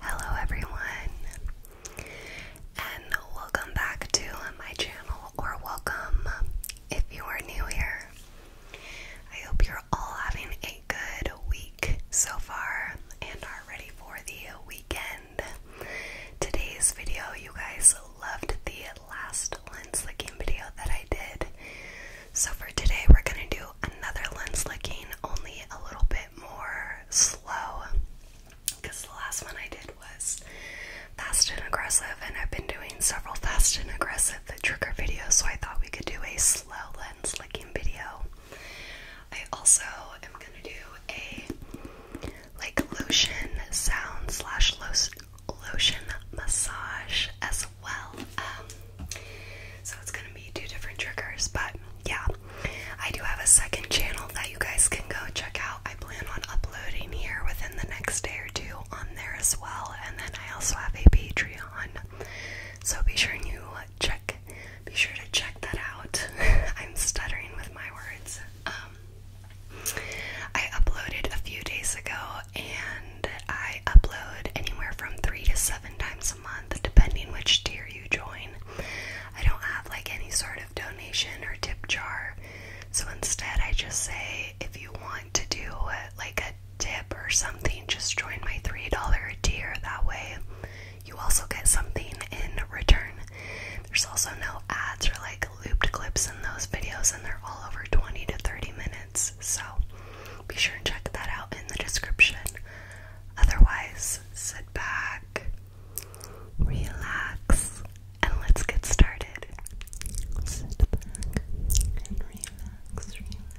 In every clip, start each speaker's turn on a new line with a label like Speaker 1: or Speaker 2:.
Speaker 1: Hello, everyone, and welcome back to my channel, or welcome if you are new here. I hope you're all having a good week so far and are ready for the weekend. Today's video, you guys, loved the last lens licking video that I did. So for today, we're gonna do another lens licking, only a little bit more slow. Because the last one I did was fast and aggressive, and I've been doing several fast and aggressive trigger videos, so I thought we could do a slow lens licking video. I also am gonna do a like lotion sound slash lotion massage as well. Um, so it's gonna be two different triggers, but yeah, I do have a second channel that you guys can go check out. I plan on uploading here within the next day or two on there as well, and then I also have a Patreon. So be sure you check, be sure to check that out. I'm stuttering with my words. Um, I uploaded a few days ago, and I upload anywhere from three to seven times a month, depending which tier you join. I don't have like any sort of donation or tip jar, so instead, I just say if you want to do like a tip or something, just join my $3 tier. That way, you also get something in return. There's also no ads or like looped clips in those videos, and they're all over 20 to 30 minutes. So be sure and check that out in the description. Otherwise, sit back, relax, and let's get started. Sit back and relax, relax,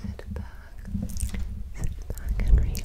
Speaker 1: Sit back, sit back and relax.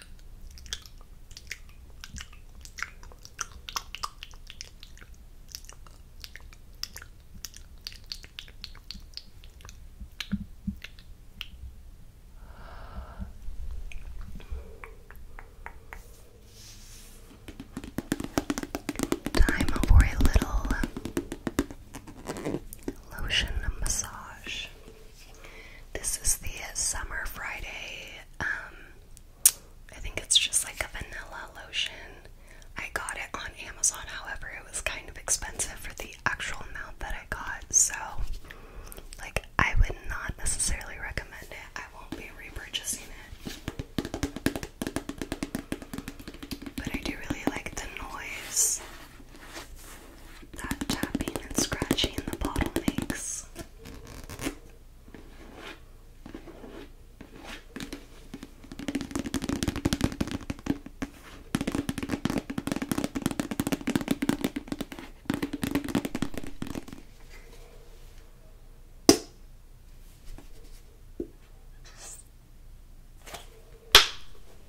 Speaker 1: Time for a little lotion massage. This is the Summer Friday. Um, I think it's just like a vanilla lotion. I got it on Amazon, however, it was kind of expensive for the actual amount that I got, so like I would not necessarily recommend it. I won't be repurchasing it. But I do really like the noise that tapping and scratching the bottle makes.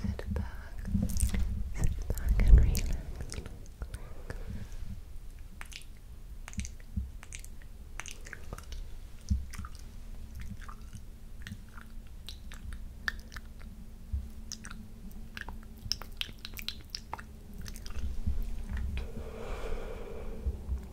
Speaker 1: Sit back, sit back and relax.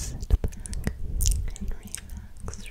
Speaker 1: Sit back and relax, relax,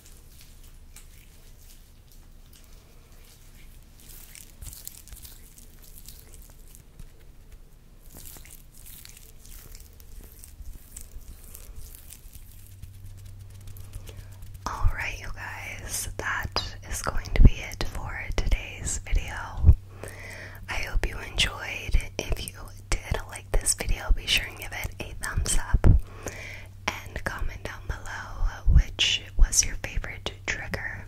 Speaker 1: Alright, you guys, that is going to be it for today's video. I hope you enjoyed. If you did like this video, be sure to give it a thumbs up and comment down below which was your favorite trigger.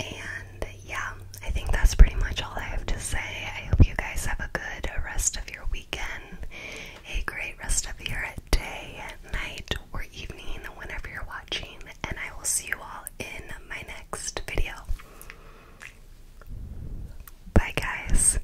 Speaker 1: And yeah, I think that's pretty much all I have to say. I hope you guys have a good rest of your weekend, a great rest of your day, night, or evening, whenever you're watching, and I will see you all in my next video. Bye, guys.